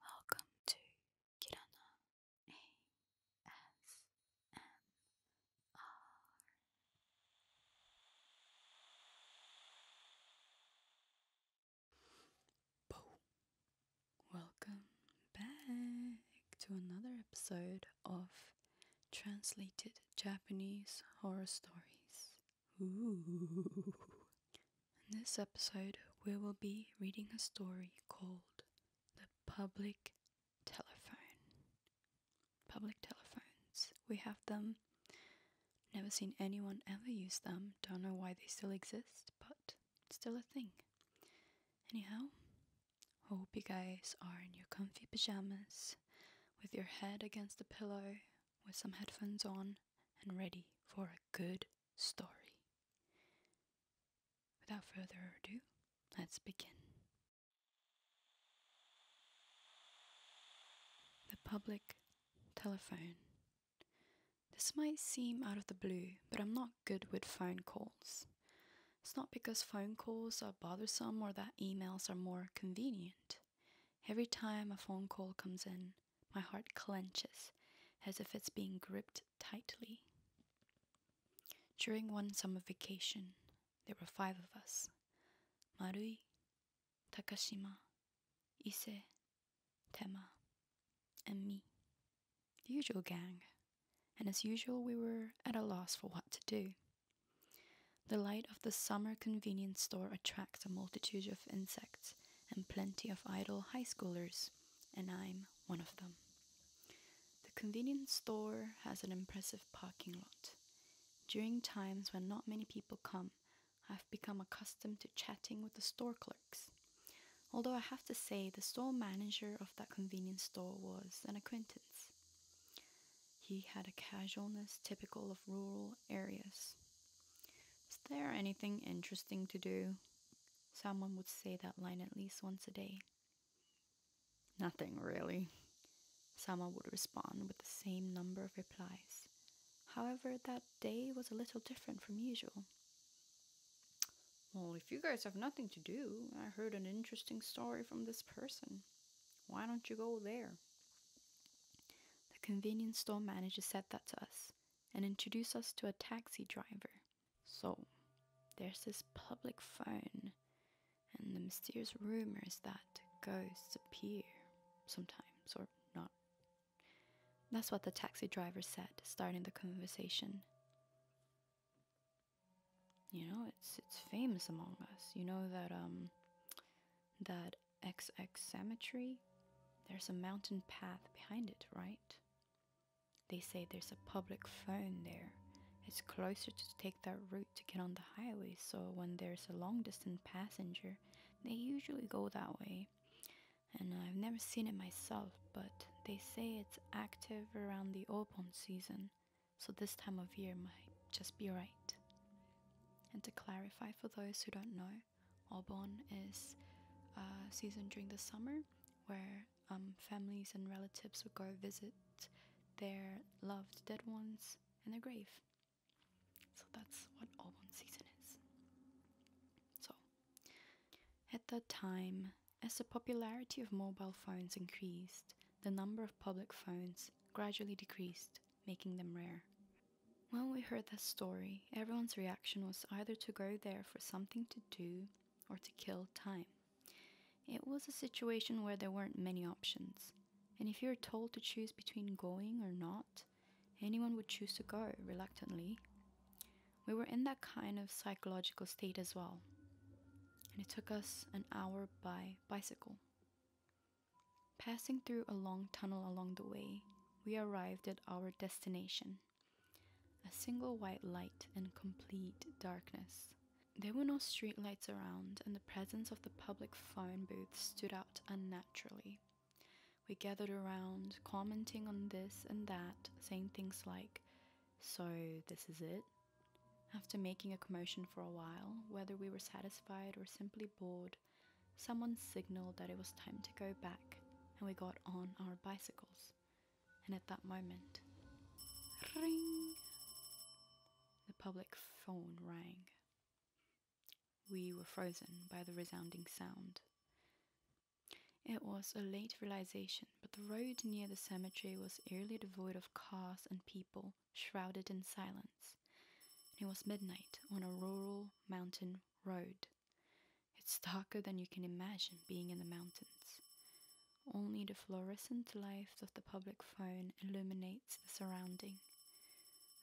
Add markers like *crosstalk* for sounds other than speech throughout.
Welcome to Kirana ASMR. Welcome back to another episode of Translated Japanese Horror Stories. In this episode, we will be reading a story called The Public Telephone. Public telephones. We have them. Never seen anyone ever use them. Don't know why they still exist, but still a thing. Anyhow, hope you guys are in your comfy pajamas with your head against the pillow with some headphones on and ready for a good story. Without further ado, let's begin. The public telephone. This might seem out of the blue, but I'm not good with phone calls. It's not because phone calls are bothersome or that emails are more convenient. Every time a phone call comes in, my heart clenches as if it's being gripped tightly. During one summer vacation, there were five of us Marui, Takashima, Ise, Tema, and me. The usual gang. And as usual, we were at a loss for what to do. The light of the summer convenience store attracts a multitude of insects and plenty of idle high schoolers and I'm one of them. The convenience store has an impressive parking lot. During times when not many people come, I've become accustomed to chatting with the store clerks. Although I have to say, the store manager of that convenience store was an acquaintance. He had a casualness typical of rural areas. Is there anything interesting to do? Someone would say that line at least once a day. Nothing really. Someone would respond with the same number of replies. However, that day was a little different from usual. Well, if you guys have nothing to do, I heard an interesting story from this person. Why don't you go there? The convenience store manager said that to us, and introduce us to a taxi driver. So, there's this public phone and the mysterious rumors that ghosts appear sometimes or not. That's what the taxi driver said, starting the conversation. You know, it's it's famous among us. You know that um that XX cemetery there's a mountain path behind it, right? They say there's a public phone there. It's closer to take that route to get on the highway, so when there's a long distance passenger, they usually go that way. And I've never seen it myself, but they say it's active around the open season, so this time of year might just be right. And to clarify for those who don't know, Obon is a uh, season during the summer where um, families and relatives would go visit their loved dead ones in their grave. So that's what Obon season is. So, at that time, as the popularity of mobile phones increased, the number of public phones gradually decreased, making them rare. When we heard that story, everyone's reaction was either to go there for something to do or to kill time. It was a situation where there weren't many options, and if you're told to choose between going or not, anyone would choose to go reluctantly. We were in that kind of psychological state as well, and it took us an hour by bicycle. Passing through a long tunnel along the way, we arrived at our destination. A single white light and complete darkness. There were no streetlights around, and the presence of the public phone booth stood out unnaturally. We gathered around, commenting on this and that, saying things like, So, this is it? After making a commotion for a while, whether we were satisfied or simply bored, someone signaled that it was time to go back, and we got on our bicycles. And at that moment, ring! The public phone rang. We were frozen by the resounding sound. It was a late realization, but the road near the cemetery was eerily devoid of cars and people, shrouded in silence. It was midnight on a rural mountain road. It's darker than you can imagine being in the mountains. Only the fluorescent light of the public phone illuminates the surrounding.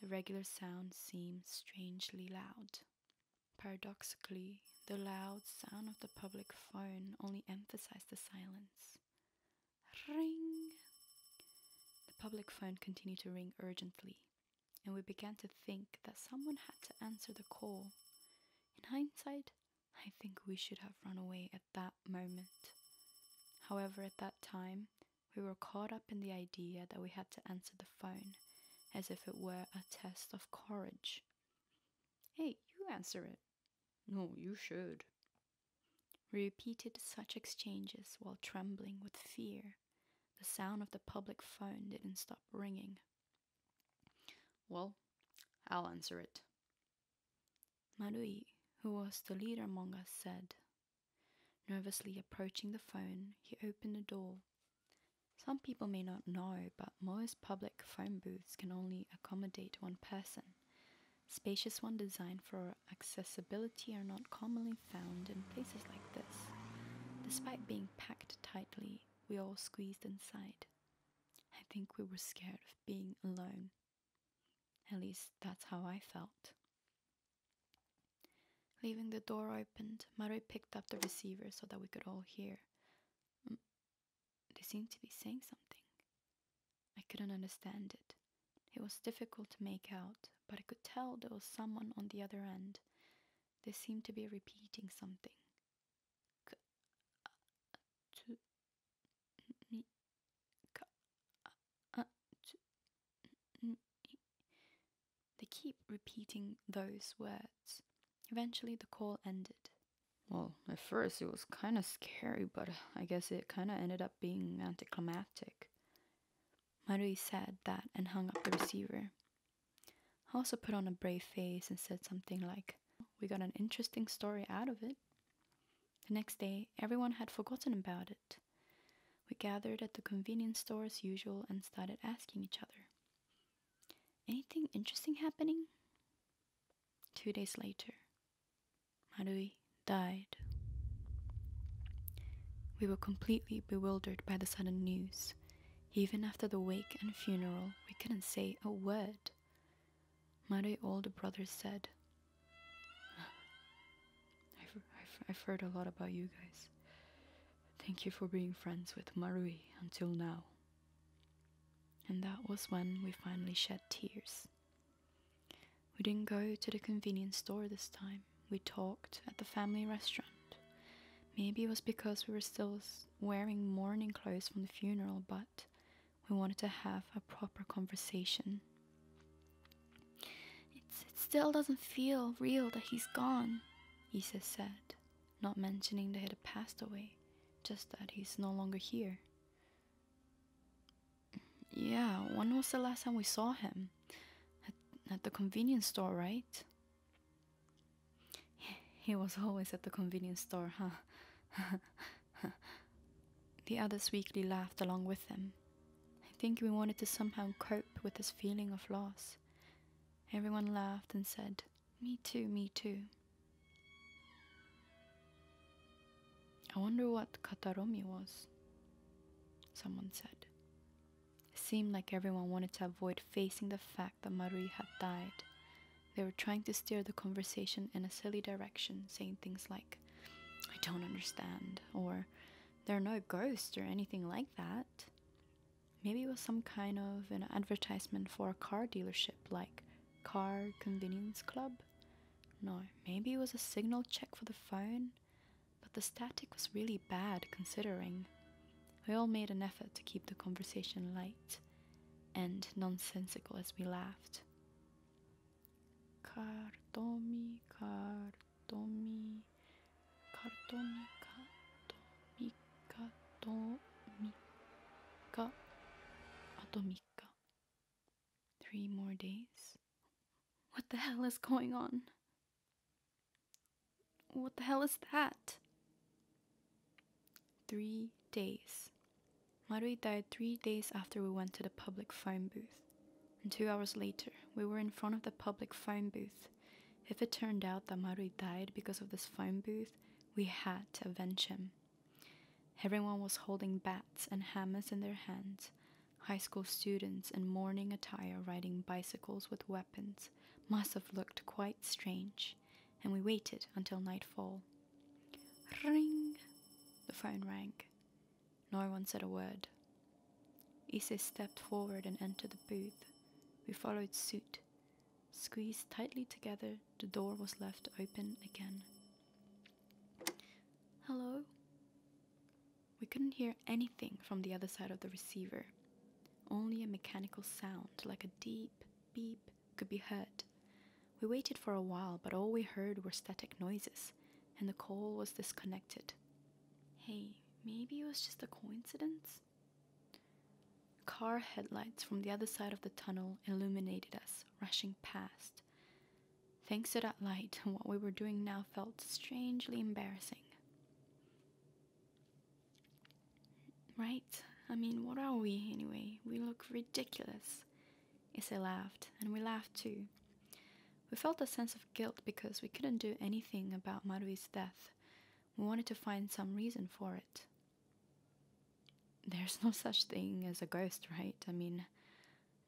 The regular sound seems strangely loud. Paradoxically, the loud sound of the public phone only emphasized the silence. Ring! The public phone continued to ring urgently, and we began to think that someone had to answer the call. In hindsight, I think we should have run away at that moment. However, at that time, we were caught up in the idea that we had to answer the phone, as if it were a test of courage. Hey, you answer it. No, you should. We repeated such exchanges while trembling with fear the sound of the public phone didn't stop ringing. Well, I'll answer it. Madui, who was the leader among us, said. Nervously approaching the phone, he opened the door. Some people may not know, but most public phone booths can only accommodate one person. Spacious ones designed for accessibility are not commonly found in places like this. Despite being packed tightly, we all squeezed inside. I think we were scared of being alone. At least that's how I felt. Leaving the door open, Marie picked up the receiver so that we could all hear. Mm, they seemed to be saying something. I couldn't understand it. It was difficult to make out, but I could tell there was someone on the other end. They seem to be repeating something. They keep repeating those words. Eventually the call ended. Well, at first it was kind of scary, but I guess it kind of ended up being anticlimactic. Marui said that and hung up the receiver. I also put on a brave face and said something like, We got an interesting story out of it. The next day, everyone had forgotten about it. We gathered at the convenience store as usual and started asking each other, Anything interesting happening? Two days later, Marui died. We were completely bewildered by the sudden news. Even after the wake and funeral, we couldn't say a word. My older brother said, I've, heard a lot about you guys. Thank you for being friends with Marui until now. And that was when we finally shed tears. We didn't go to the convenience store this time we talked at the family restaurant. Maybe it was because we were still wearing mourning clothes from the funeral, but we wanted to have a proper conversation. it still doesn't feel real that he's gone, Isa said, not mentioning that he had passed away, just that he's no longer here. Yeah, when was the last time we saw him? at, the convenience store, right? *laughs* He was always at the convenience store, huh? *laughs* the others weakly laughed along with them. I think we wanted to somehow cope with this feeling of loss. Everyone laughed and said, Me too, me too. I wonder what Kataromi was, someone said seemed like everyone wanted to avoid facing the fact that Marie had died. They were trying to steer the conversation in a silly direction, saying things like, I don't understand, or there are no ghosts or anything like that. Maybe it was some kind of an advertisement for a car dealership, like Car Convenience Club? No, maybe it was a signal check for the phone? but the static was really bad considering. We all made an effort to keep the conversation light and nonsensical as we laughed. Kartomi, kartomi, kartomi, kartomi, kartomika, atomika. Three more days. What the hell is going on? What the hell is that? Three days. Marui died three days after we went to the public phone booth. And two hours later, we were in front of the public phone booth. If it turned out that Marui died because of this phone booth, we had to avenge him. Everyone was holding bats and hammers in their hands, High school students in morning attire riding bicycles with weapons must have looked quite strange, and we waited until nightfall. Ring! The phone rang. No one said a word. Issei stepped forward and entered the booth. We followed suit. Squeezed tightly together, the door was left open again. Hello? We couldn't hear anything from the other side of the receiver. Only a mechanical sound, like a deep beep, could be heard. We waited for a while, but all we heard were static noises, and the call was disconnected. Hey, maybe it was just a coincidence? Car headlights from the other side of the tunnel illuminated us, rushing past. Thanks to that light, *laughs* what we were doing now felt strangely embarrassing. Right? I mean, what are we anyway? We look ridiculous. Issei laughed, and we laughed too. We felt a sense of guilt because we couldn't do anything about Marui's death. We wanted to find some reason for it. There's no such thing as a ghost, right? I mean,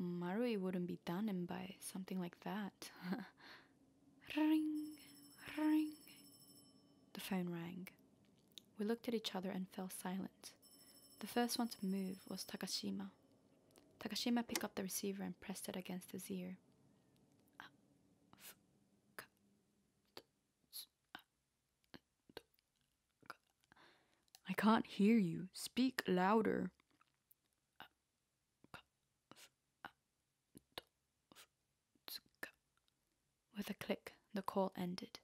Marui wouldn't be done in by something like that. *laughs* Ring, ring. The phone rang. We looked at each other and fell silent. The first one to move was Takashima. Takashima picked up the receiver and pressed it against his ear. Uh, uh, I can't hear you. Speak louder. Uh, with a click, the call ended.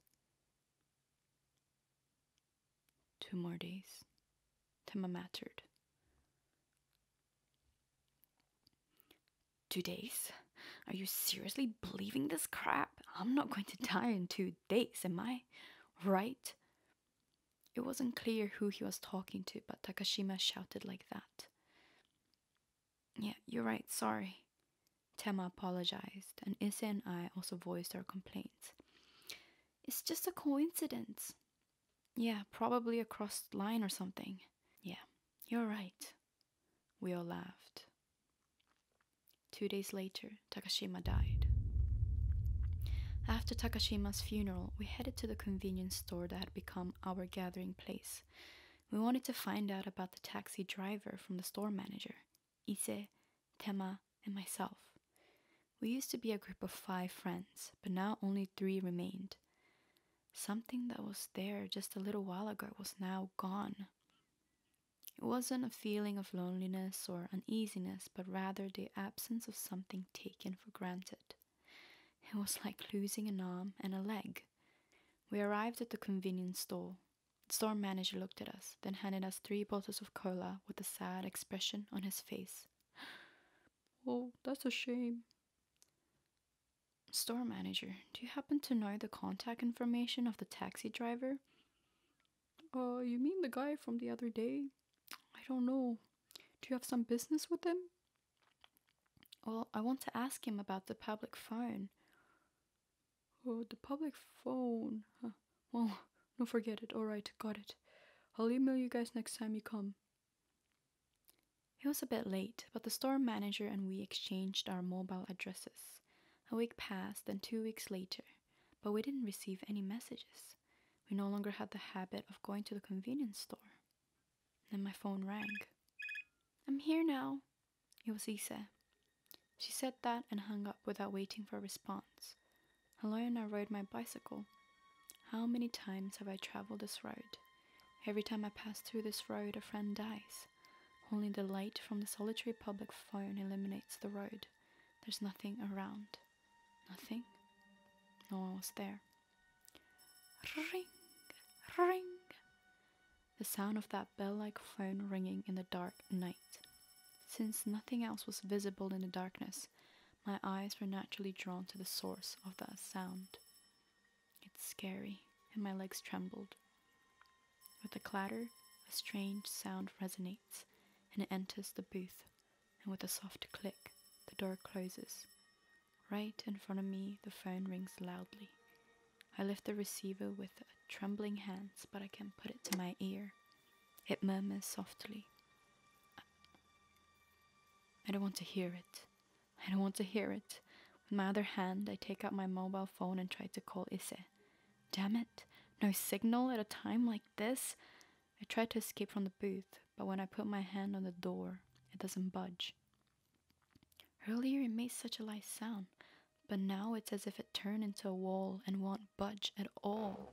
Two more days. Tema mattered. Two days? Are you seriously believing this crap? I'm not going to die in two days, am I? Right? It wasn't clear who he was talking to, but Takashima shouted like that. Yeah, you're right, sorry. Tema apologized, and Ise and I also voiced our complaints. It's just a coincidence. Yeah, probably a crossed line or something. Yeah, you're right. We all laughed. Two days later, Takashima died. After Takashima's funeral, we headed to the convenience store that had become our gathering place. We wanted to find out about the taxi driver from the store manager, Ise, Tema, and myself. We used to be a group of five friends, but now only three remained. Something that was there just a little while ago was now gone. It wasn't a feeling of loneliness or uneasiness, but rather the absence of something taken for granted. It was like losing an arm and a leg. We arrived at the convenience store. The store manager looked at us, then handed us three bottles of cola with a sad expression on his face. *gasps* Oh, that's a shame. Store manager, do you happen to know the contact information of the taxi driver? Oh, you mean the guy from the other day? I don't know. Do you have some business with him? Well, I want to ask him about the public phone. Oh, the public phone. Huh. Well, *laughs* no, forget it. Alright, got it. I'll email you guys next time you come. It was a bit late, but the store manager and we exchanged our mobile addresses. A week passed and two weeks later, but we didn't receive any messages we no longer had the habit of going to the convenience store. Then my phone rang. I'm here now. It was Isa. She said that and hung up without waiting for a response. Alone, I rode my bicycle. How many times have I traveled this road? Every time I pass through this road, a friend dies. Only the light from the solitary public phone illuminates the road. There's nothing around. Nothing. No one was there. Ring, ring. The sound of that bell like phone ringing in the dark night. Since nothing else was visible in the darkness, my eyes were naturally drawn to the source of that sound. It's scary, and my legs trembled. With a clatter, a strange sound resonates, and it enters the booth, and with a soft click, the door closes. Right in front of me, the phone rings loudly. I lift the receiver with trembling hands, but I can not put it to my ear. It murmurs softly. I don't want to hear it. I don't want to hear it. With my other hand, I take out my mobile phone and try to call Ise. Damn it! No signal at a time like this? I try to escape from the booth, but when I put my hand on the door, it doesn't budge. Earlier it made such a light sound, but now it's as if it turned into a wall and won't budge at all.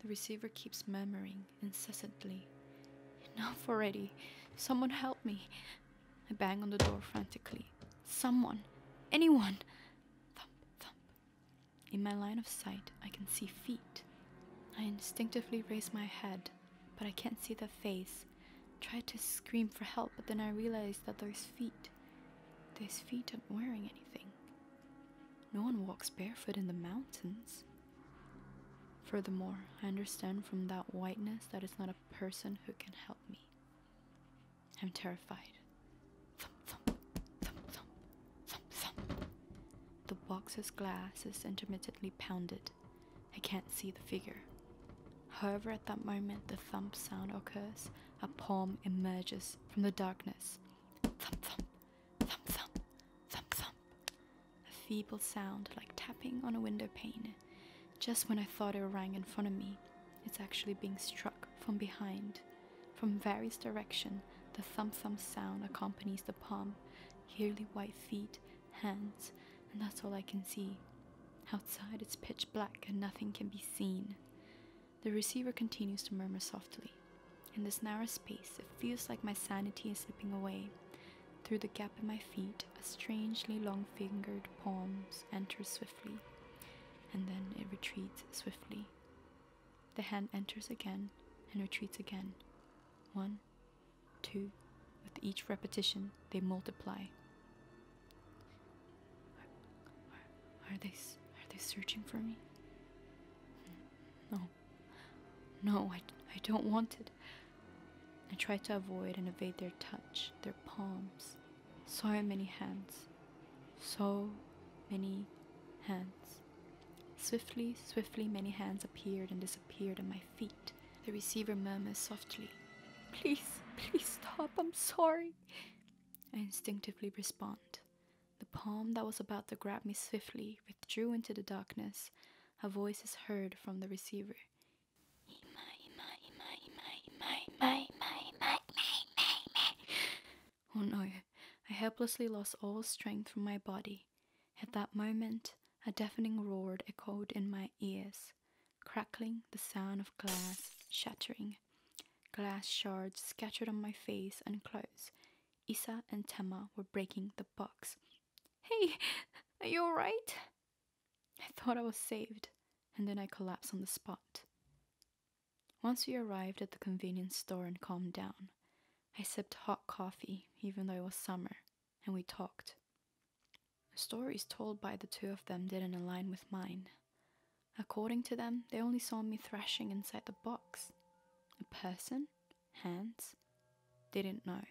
The receiver keeps murmuring incessantly. Enough already! Someone help me! I bang on the door frantically. Someone! Anyone! Thump, thump. In my line of sight, I can see feet. I instinctively raise my head, but I can't see the face. Try to scream for help, but then I realize that those feet, those feet aren't wearing anything. No one walks barefoot in the mountains. Furthermore, I understand from that whiteness that it's not a person who can help me. I'm terrified thump, thump, thump, thump, thump. The box's glass is intermittently pounded. I can't see the figure. However, at that moment the thump sound occurs, a palm emerges from the darkness. thump, thump, thump, thump. A feeble sound like tapping on a window pane. Just when I thought it rang in front of me, it's actually being struck from behind. From various direction, the thump-thump sound accompanies the palm, yearly white feet, hands, and that's all I can see. Outside, it's pitch black and nothing can be seen. The receiver continues to murmur softly. In this narrow space, it feels like my sanity is slipping away. Through the gap in my feet, a strangely long fingered palm enters swiftly, and then it retreats swiftly. The hand enters again and retreats again. One, two, with each repetition, they multiply. Are, they are they searching for me? No. No, I, I don't want it. I try to avoid and evade their touch, their palms. So many hands. So many hands. Swiftly, swiftly, many hands appeared and disappeared at my feet. The receiver murmured softly, Please, please stop, I'm sorry. I instinctively respond. The palm that was about to grab me swiftly withdrew into the darkness. A voice is heard from the receiver. Oh no, I helplessly lost all strength from my body. At that moment, a deafening roar echoed in my ears, crackling the sound of glass shattering. Glass shards scattered on my face and clothes. Isa and Tema were breaking the box. Hey, are you alright? I thought I was saved, and then I collapsed on the spot. Once we arrived at the convenience store and calmed down, I sipped hot coffee, even though it was summer, and we talked. The stories told by the two of them didn't align with mine. According to them, they only saw me thrashing inside the box. A person? Hands? didn't know.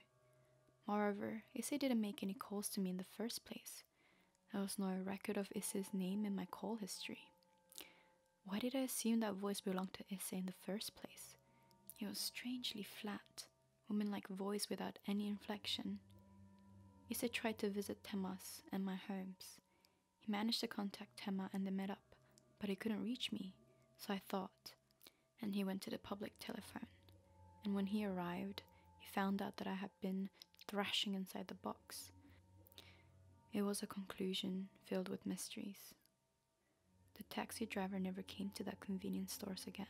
Moreover, Issei didn't make any calls to me in the first place. There was no record of Issei's name in my call history. Why did I assume that voice belonged to Issa in the first place? It was strangely flat, woman-like voice without any inflection. Issa tried to visit Temas and my homes. He managed to contact Tema and they met up, but he couldn't reach me, so I thought. And he went to the public telephone. And when he arrived, he found out that I had been thrashing inside the box. It was a conclusion filled with mysteries. The taxi driver never came to that convenience store again.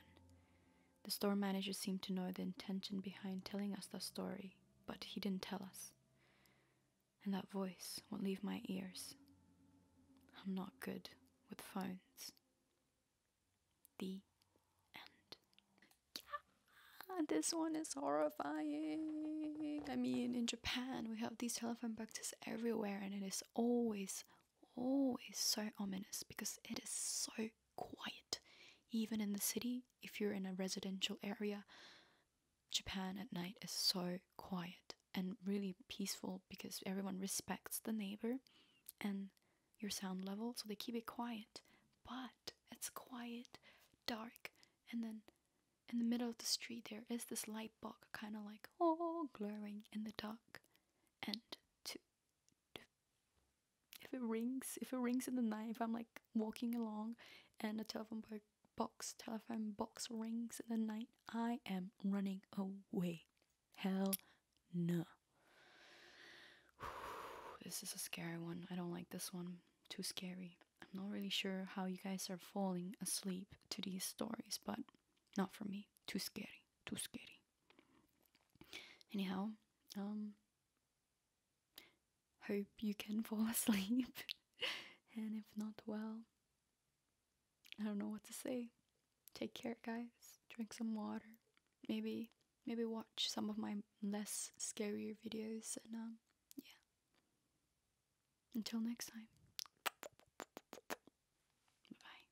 The store manager seemed to know the intention behind telling us that story, but he didn't tell us. And that voice won't leave my ears. I'm not good with phones. The end. Yeah, this one is horrible. I mean, in Japan, we have these telephone boxes everywhere, and it is always, always so ominous because it is so quiet. Even in the city, if you're in a residential area, Japan at night is so quiet and really peaceful because everyone respects the neighbor and your sound level, so they keep it quiet. But it's quiet, dark, and then in the middle of the street, there is this light box, kind of like, oh, glowing in the dark. And to, if it rings, if it rings in the night, if I'm like walking along and the telephone box, telephone box rings in the night, I am running away. Hell no. *sighs* this is a scary one. I don't like this one. Too scary. I'm not really sure how you guys are falling asleep to these stories, but not for me. Too scary. Too scary. Anyhow, um, hope you can *laughs* fall asleep. *laughs* and if not, well, I don't know what to say. Take care, guys. Drink some water. Maybe, maybe watch some of my less scarier videos. And um, yeah. Until next time. Bye.